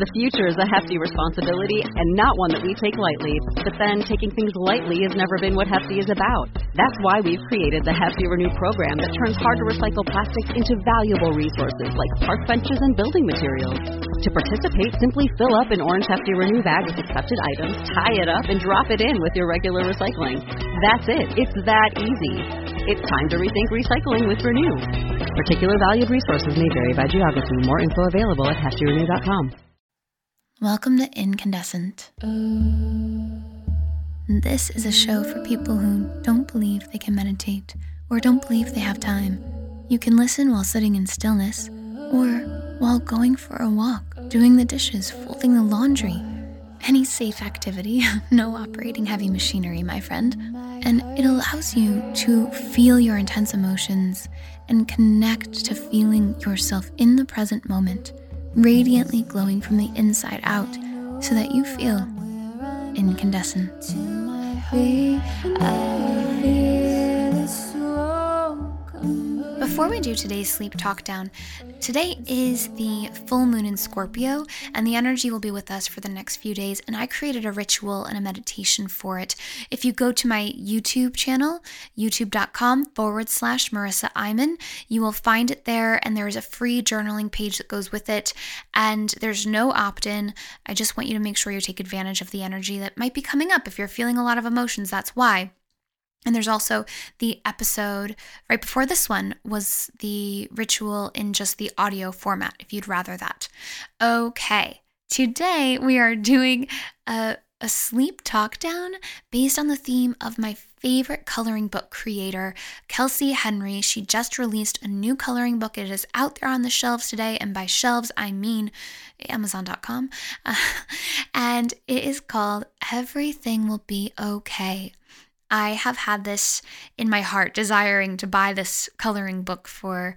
The future is a hefty responsibility and not one that we take lightly, but then taking things lightly has never been what Hefty is about. That's why we've created the Hefty Renew program that turns hard to recycle plastics into valuable resources like park benches and building materials. To participate, simply fill up an orange Hefty Renew bag with accepted items, tie it up, and drop it in with your regular recycling. That's it. It's that easy. It's time to rethink recycling with Renew. Particular valued resources may vary by geography. More info available at heftyrenew.com. Welcome to Incandescent. This is a show for people who don't believe they can meditate or don't believe they have time. You can listen while sitting in stillness or while going for a walk, doing the dishes, folding the laundry. Any safe activity, no operating heavy machinery, my friend. And it allows you to feel your intense emotions and connect to feeling yourself in the present moment, radiantly glowing from the inside out, so that you feel incandescent. Before we do today's sleep talk down, today is the full moon in Scorpio, and the energy will be with us for the next few days, and I created a ritual and a meditation for it. If you go to my YouTube channel, youtube.com forward slash Marissa Iman, you will find it there, and there is a free journaling page that goes with it. And there's no opt in. I just want you to make sure you take advantage of the energy that might be coming up. If you're feeling a lot of emotions, that's why. And there's also the episode right before this one was the ritual in just the audio format, if you'd rather that. Okay, today we are doing a, a sleep talk down based on the theme of my favorite coloring book creator, Kelsey Henry. She just released a new coloring book. It is out there on the shelves today, and by shelves, I mean Amazon.com. and it is called Everything Will Be Okay. I have had this in my heart desiring to buy this coloring book for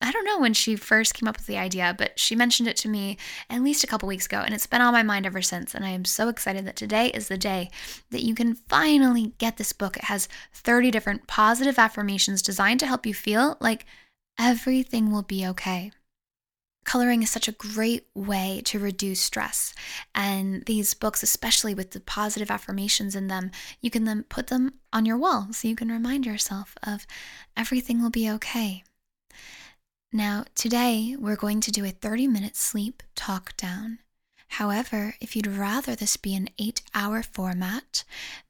I don't know when she first came up with the idea, but she mentioned it to me at least a couple weeks ago, and it's been on my mind ever since. And I am so excited that today is the day that you can finally get this book. It has 30 different positive affirmations designed to help you feel like everything will be okay. Coloring is such a great way to reduce stress. And these books, especially with the positive affirmations in them, you can then put them on your wall so you can remind yourself of everything will be okay. Now, today we're going to do a 30 minute sleep talk down. However, if you'd rather this be an eight hour format,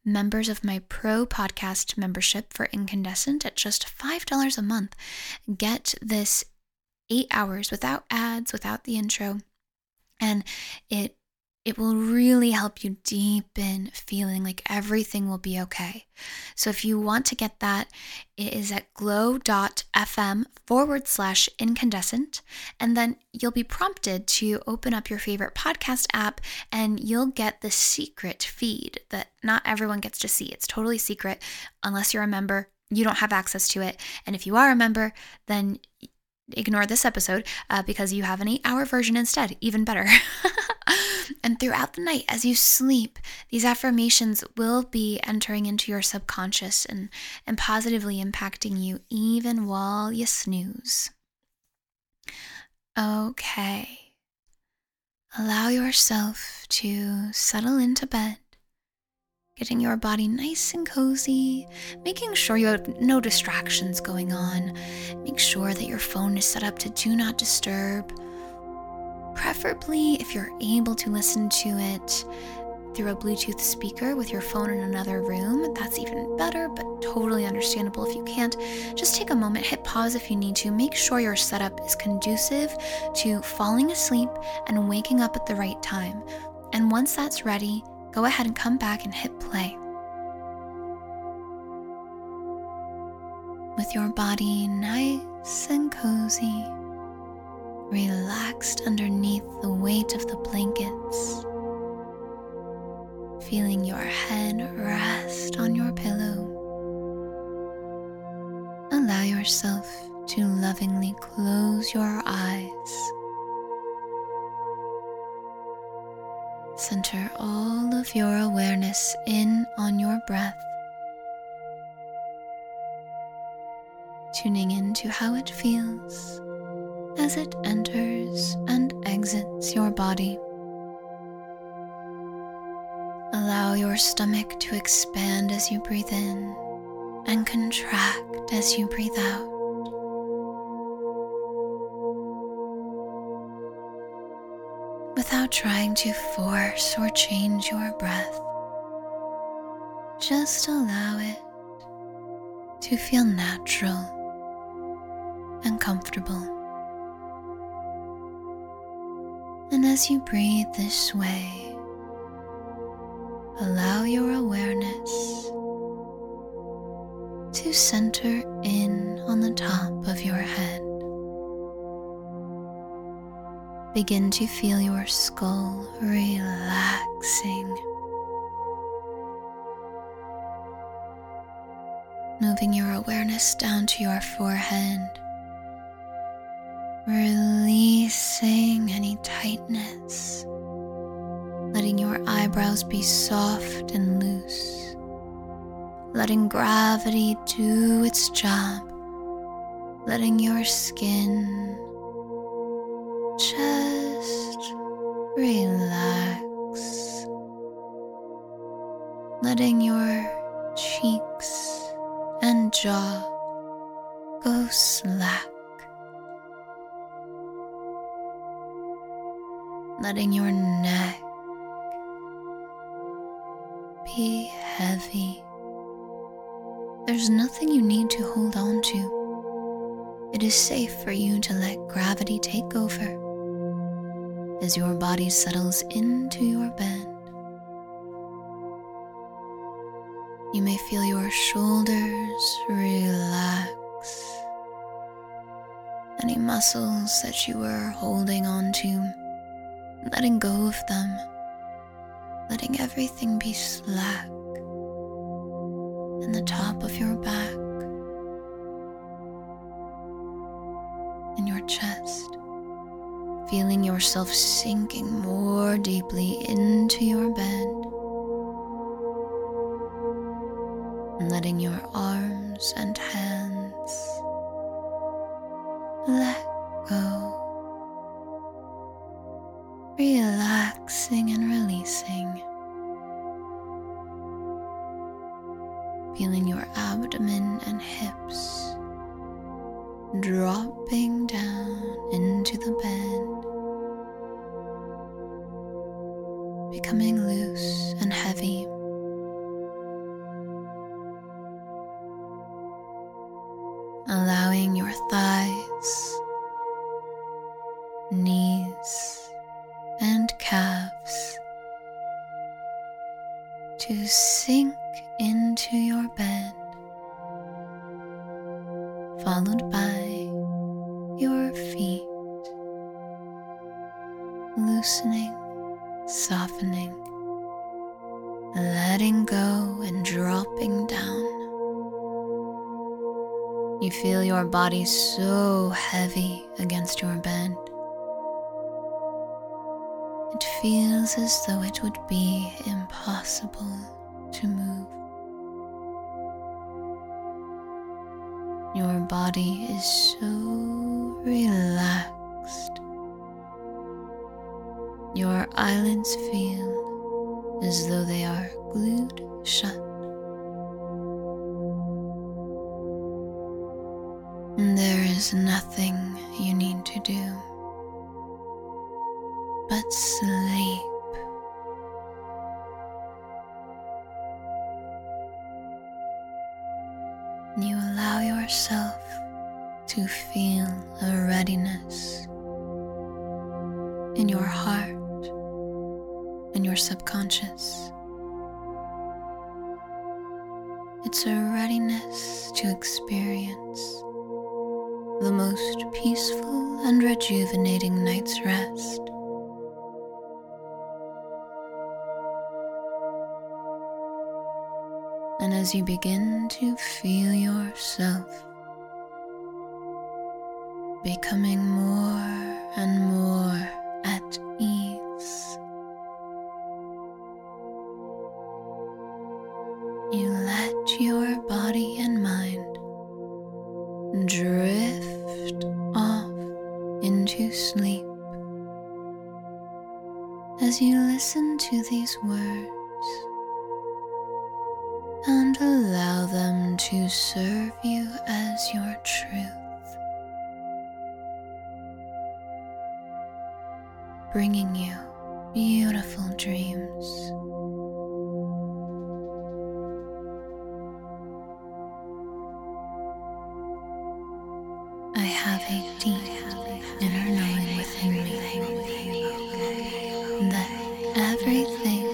members of my pro podcast membership for Incandescent at just $5 a month get this eight hours without ads, without the intro and it it will really help you deepen feeling like everything will be okay. So if you want to get that, it is at glow.fm forward slash incandescent. And then you'll be prompted to open up your favorite podcast app and you'll get the secret feed that not everyone gets to see. It's totally secret unless you're a member. You don't have access to it. And if you are a member, then ignore this episode uh, because you have an eight hour version instead, even better. and throughout the night, as you sleep, these affirmations will be entering into your subconscious and, and positively impacting you even while you snooze. Okay. Allow yourself to settle into bed getting your body nice and cozy, making sure you have no distractions going on. Make sure that your phone is set up to do not disturb. Preferably, if you're able to listen to it through a Bluetooth speaker with your phone in another room, that's even better, but totally understandable if you can't. Just take a moment, hit pause if you need to. Make sure your setup is conducive to falling asleep and waking up at the right time. And once that's ready, go ahead and come back and hit play. With your body nice and cozy, relaxed underneath the weight of the blankets, feeling your head rest on your pillow. Allow yourself to lovingly close your eyes. Center all of your awareness in on your breath, tuning into how it feels as it enters and exits your body. Allow your stomach to expand as you breathe in and contract as you breathe out. Without trying to force or change your breath, just allow it to feel natural and comfortable. And as you breathe this way, Allow your awareness to center in on the top of your head. Begin to feel your skull relaxing, moving your awareness down to your forehead, releasing any tightness letting your eyebrows be soft and loose, letting gravity do its job, letting your skin just relax, letting your cheeks and jaw go slack letting your neck be heavy. There's nothing you need to hold on to. It is safe for you to let gravity take over as your body settles into your bed. You may feel your shoulders relax. Any muscles that you were holding on to, letting go of them, letting everything be slack. in the top of your back, in your chest, feeling yourself sinking more deeply into your bed letting your arms and hands let go, relaxing and releasing, feeling your abdomen and hips dropping down into the bed becoming loose and heavy. Allowing your thighs, knees, and calves to sink into your bed followed by your feet, loosening, softening, letting go and dropping down. You feel your body so heavy against your bed. It feels as though it would be impossible to move. Your body is so relaxed. Your eyelids feel as though they are glued shut. There is nothing you need to do but sleep. You allow yourself to feel a readiness in your heart in your subconscious. It's a readiness to experience the most peaceful and rejuvenating night's rest. And as you begin to feel yourself becoming more and more at ease, you let your body and mind drift off into sleep as you listen to these words and allow them to serve you as your truth, bringing you beautiful dreams. I have a deep inner knowing within me that everything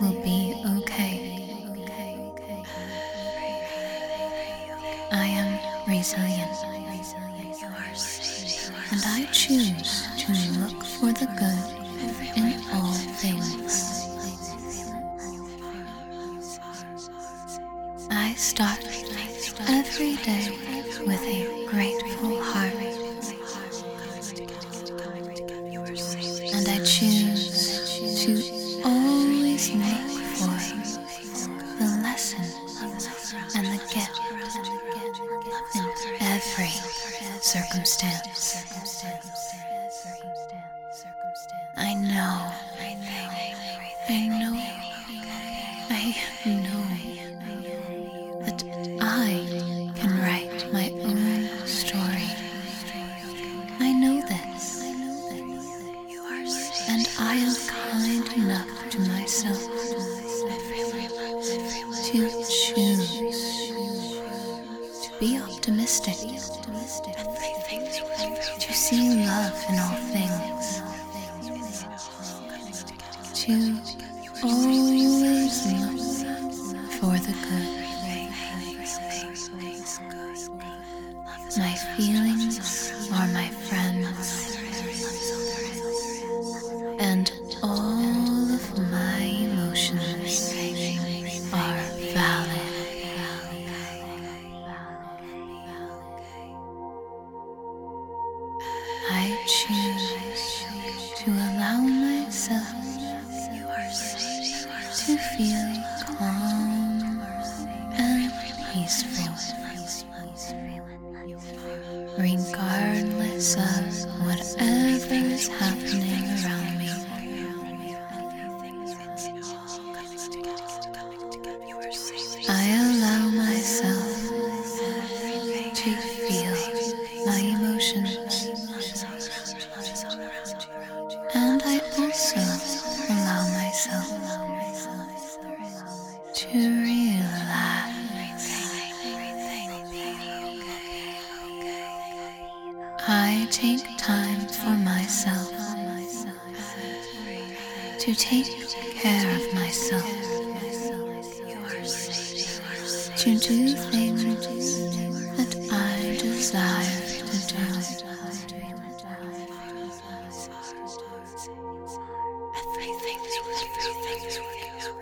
will be okay. I am resilient and I choose to look for the good in all things. I start every day with a grateful heart, and I choose to always make for the lesson and and the gift in every circumstance. I know. I know. I know that I can write my own story. I know this. And I am kind enough to myself to choose to be optimistic, to see love in all things, to always look for the good. My feelings are my friends. And all of my emotions are valid. I choose to allow myself to feel calm and peaceful regardless of whatever is happening around me. I allow myself to feel my emotions, and I also allow myself to realize I take time for myself to take care of myself, to do things that I desire to do.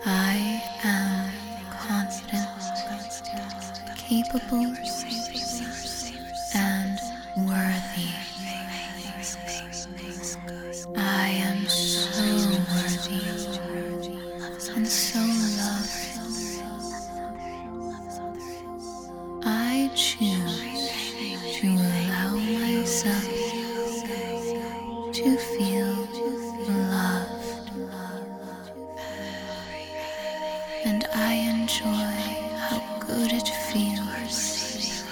I am confident, capable, and worthy. I am so worthy and so loved. I choose to allow myself to feel loved. And I enjoy how good it feels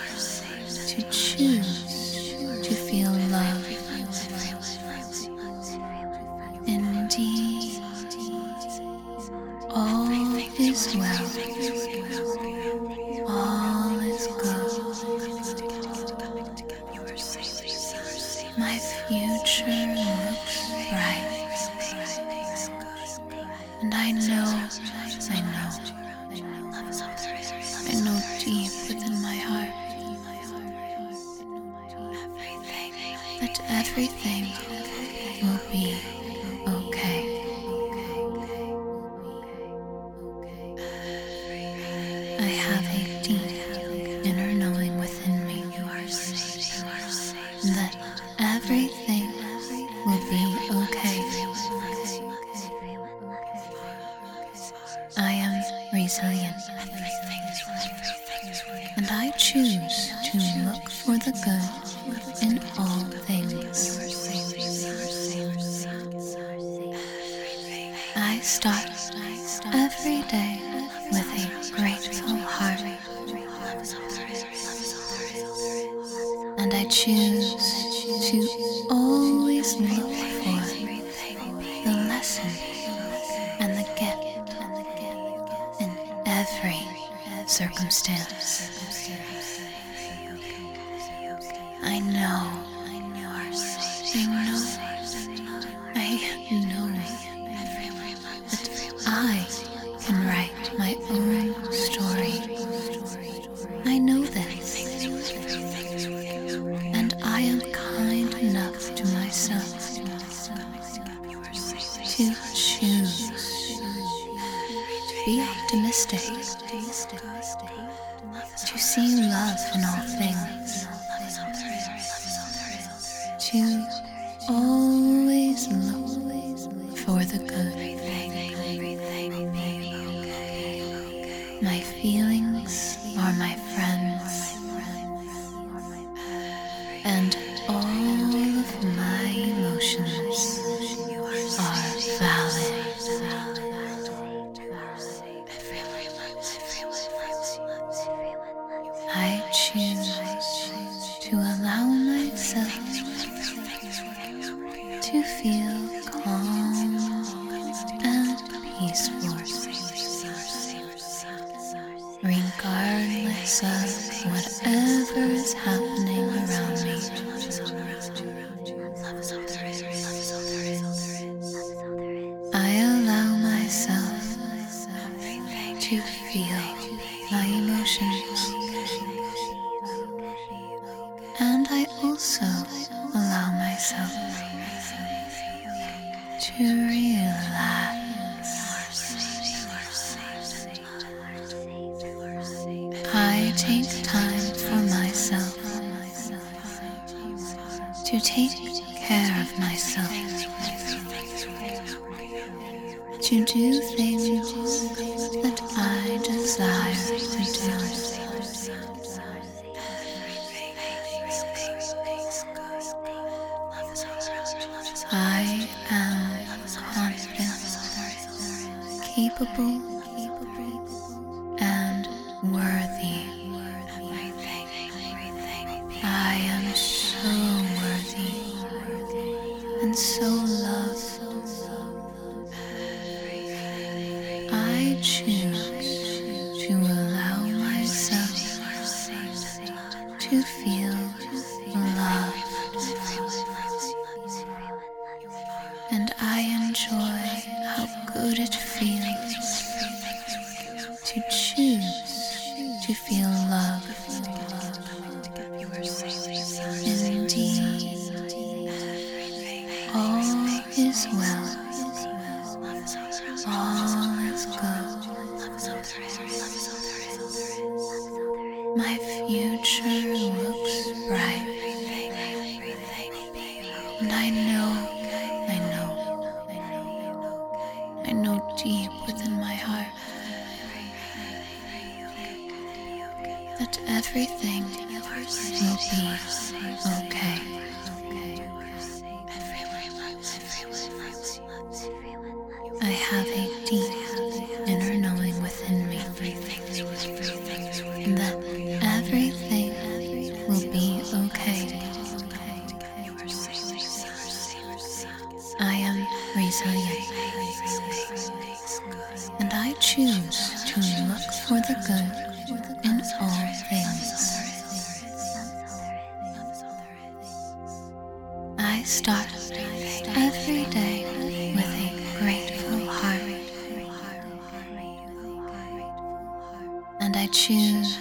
to choose to feel loved. Indeed, all is well. All is good. My future looks bright. And I know, I know, I know deep within my heart that everything will be okay. I have a deep inner knowing within me that everything will be okay. I am resilient and I choose to look for the good in all things. I start every day with a grateful heart. And I choose to always look for the lesson and the gift in every circumstance. I know. I know. I know that I can write my own story. I know this. And I am kind enough to myself to choose. Be optimistic to see love in all things, to always look for the good. My feelings are my friends, and all of my emotions are valid. I choose to allow myself to feel calm and peaceful, regardless of whatever is happening around me. I allow myself to feel my emotions. And I also allow myself to relax. I take time for myself to take care of myself, to do things that I desire to do. I am confident, capable and worthy of my I am so worthy and so loved. I choose to allow myself to feel love and I enjoy how good it feels to choose to feel love. Indeed, all is well, all is My future looks bright. And I know, I know, I know deep within my heart that everything will be okay. I have a deep inner knowing and that everything will be okay. I am resilient, and I choose to look for the good in all things. I start every day with a grateful heart. And I choose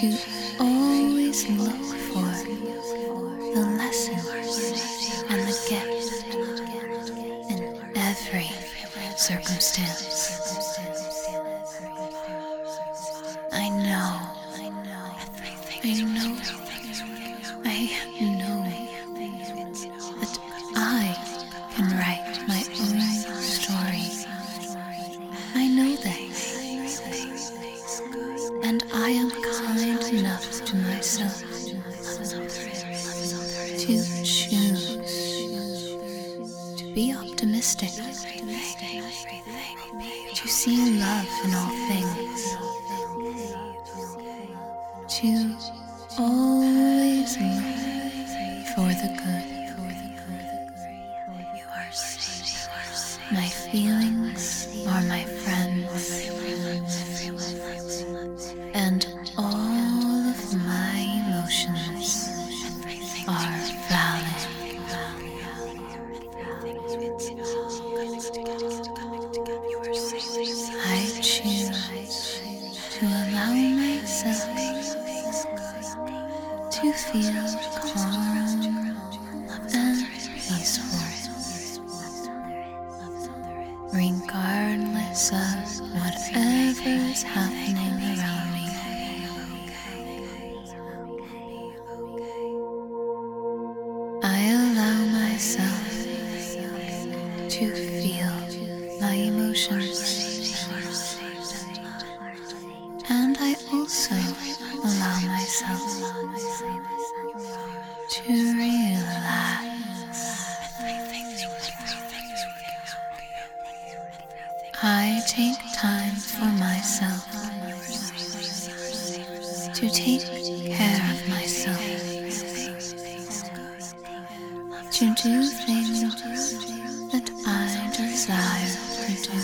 to always look for the lessons and the gift in every circumstance. I know. I know. I know. I know that I can write my own story. I know this, and I am kind enough to myself to choose to be optimistic, to see love in all things, to always made for the good. You are safe. My feelings are my friends, and all of my emotions are valid. I choose to allow myself to feel calm and peaceful, regardless of whatever is happening around me. I allow myself to feel my emotions. And I also allow myself to relax. I take time for myself to take care of myself to do things that I desire to do.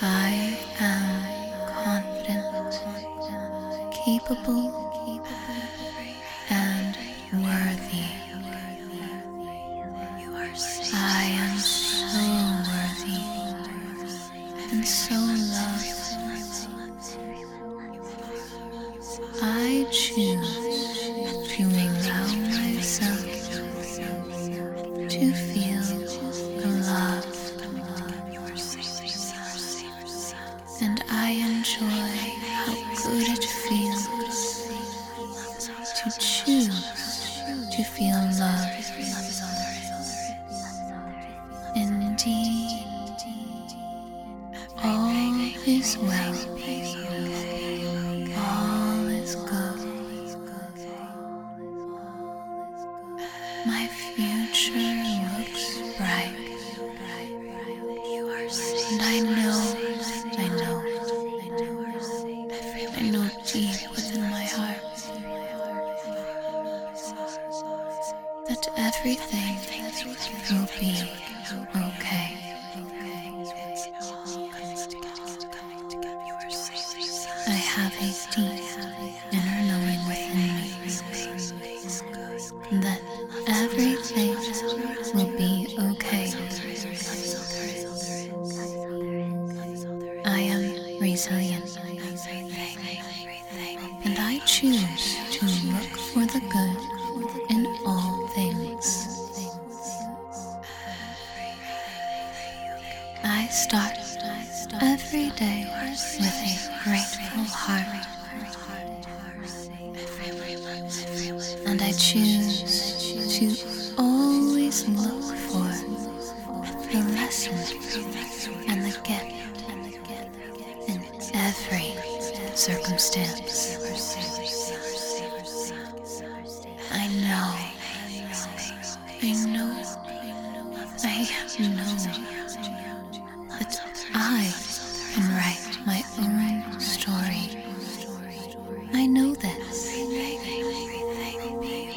I am confident, capable, and worthy. I am so worthy and so loved. I choose to allow myself to feel the love, and I enjoy how good it feels to choose to feel love. Indeed, all is well. All is good. My future looks bright. And I know, I know, I know so deep within my heart that everything will be okay. I have a deep inner knowing within me that everything will be okay. I am resilient. And I choose to look for the good in all things. I start every day with a grateful heart and I choose to always look for the lesson and the gift in every circumstance. I know, I know, I know that I can write my own story I know this.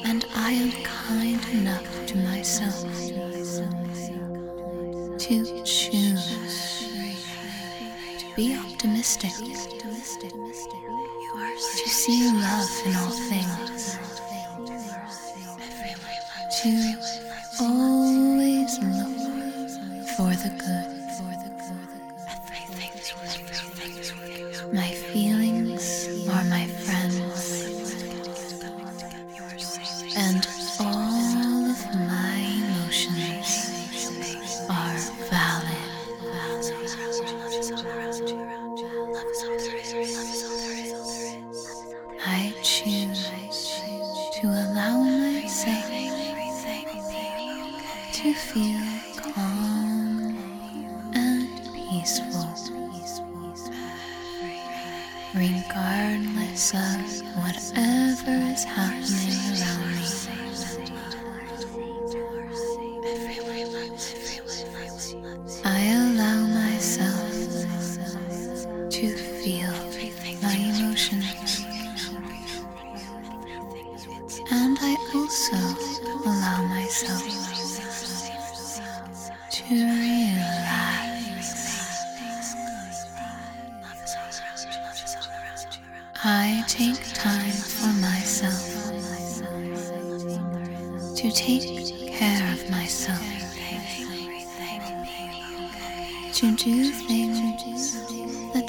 And I am kind enough to myself to choose to be optimistic, to see love in all things, to always look for the good. My feelings are my friends, and all of my emotions are valid. I choose to allow myself to feel calm and peaceful, regardless of whatever is happening around me. I allow myself to feel my emotions. And I also allow myself to relax. I take time for myself to take care of myself, to do things that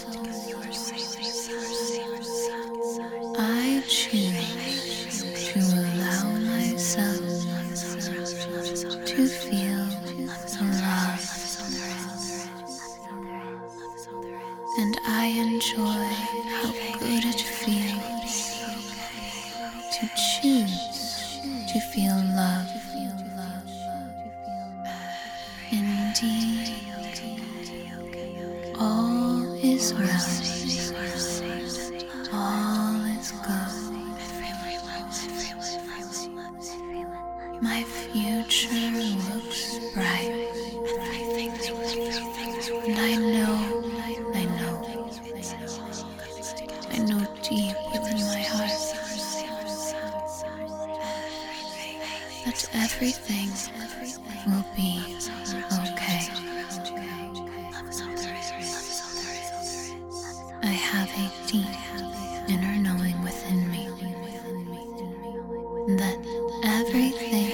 I choose to allow myself to feel love, and I enjoy how good it feels to choose to feel love. Indeed, All is right. All is good. My future looks bright. And I know, I know, I know deep within my heart that everything, everything everything will be okay. I have a deep inner knowing within me that everything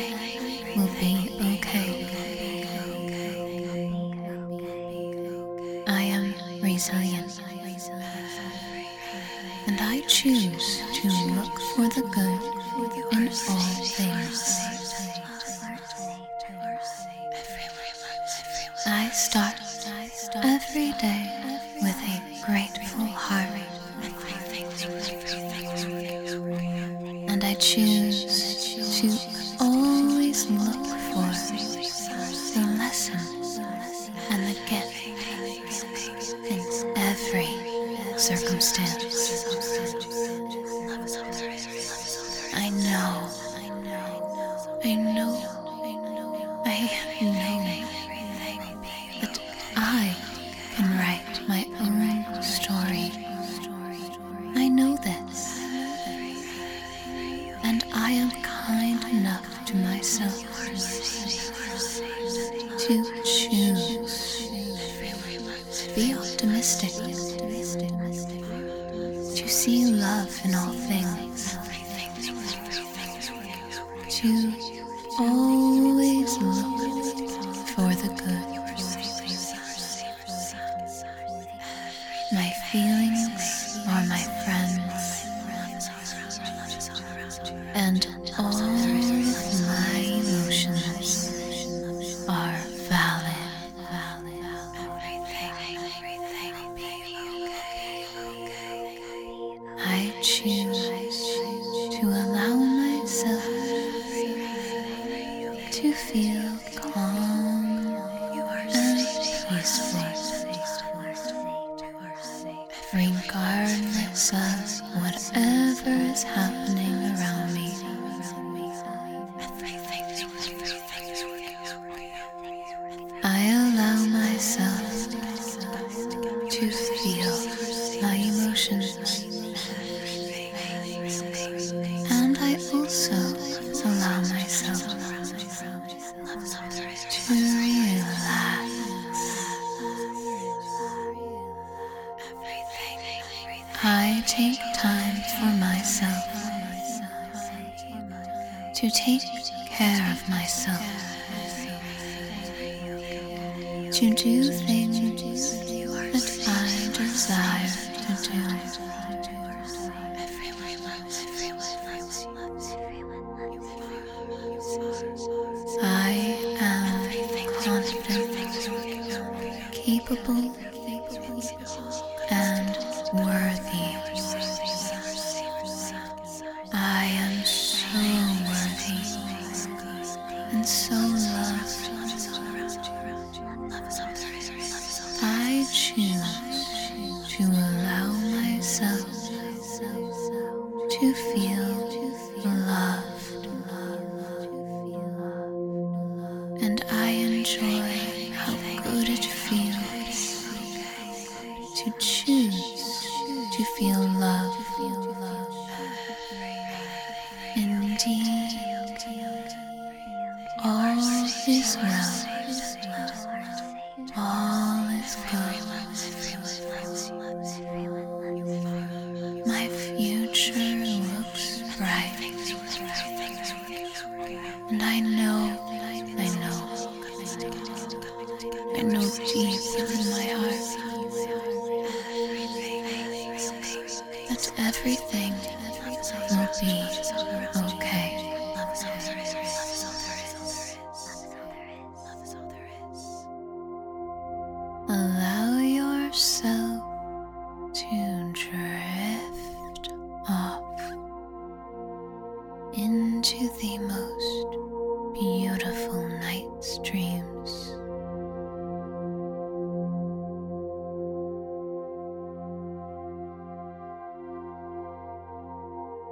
will be okay. I am resilient and I choose to look for the good in all things. I start every day with a grateful heart, and I choose to always look for the lesson and the gift in every circumstance. I know, I know, I know that I can write my own story. I know this, and I am kind enough to myself to choose be optimistic, to see love in all things, to always look for the good. My feelings are my friends and all my emotions are valid. I choose to allow myself to feel calm and peaceful regardless of whatever is happening around me. I allow myself to feel my emotions. And I also allow myself to relax. I take time for myself to take care of myself, to do things that I desire to do. I am confident, capable, and worthy. I am so worthy and so loved. I choose to allow myself to feel loved. And I enjoy how good it feels to choose to feel loved. Indeed, all is well. All is good. My future looks bright. And I know, I know, I know deep in my heart that everything will be okay. Allow yourself to drift off into the most beautiful night's dreams.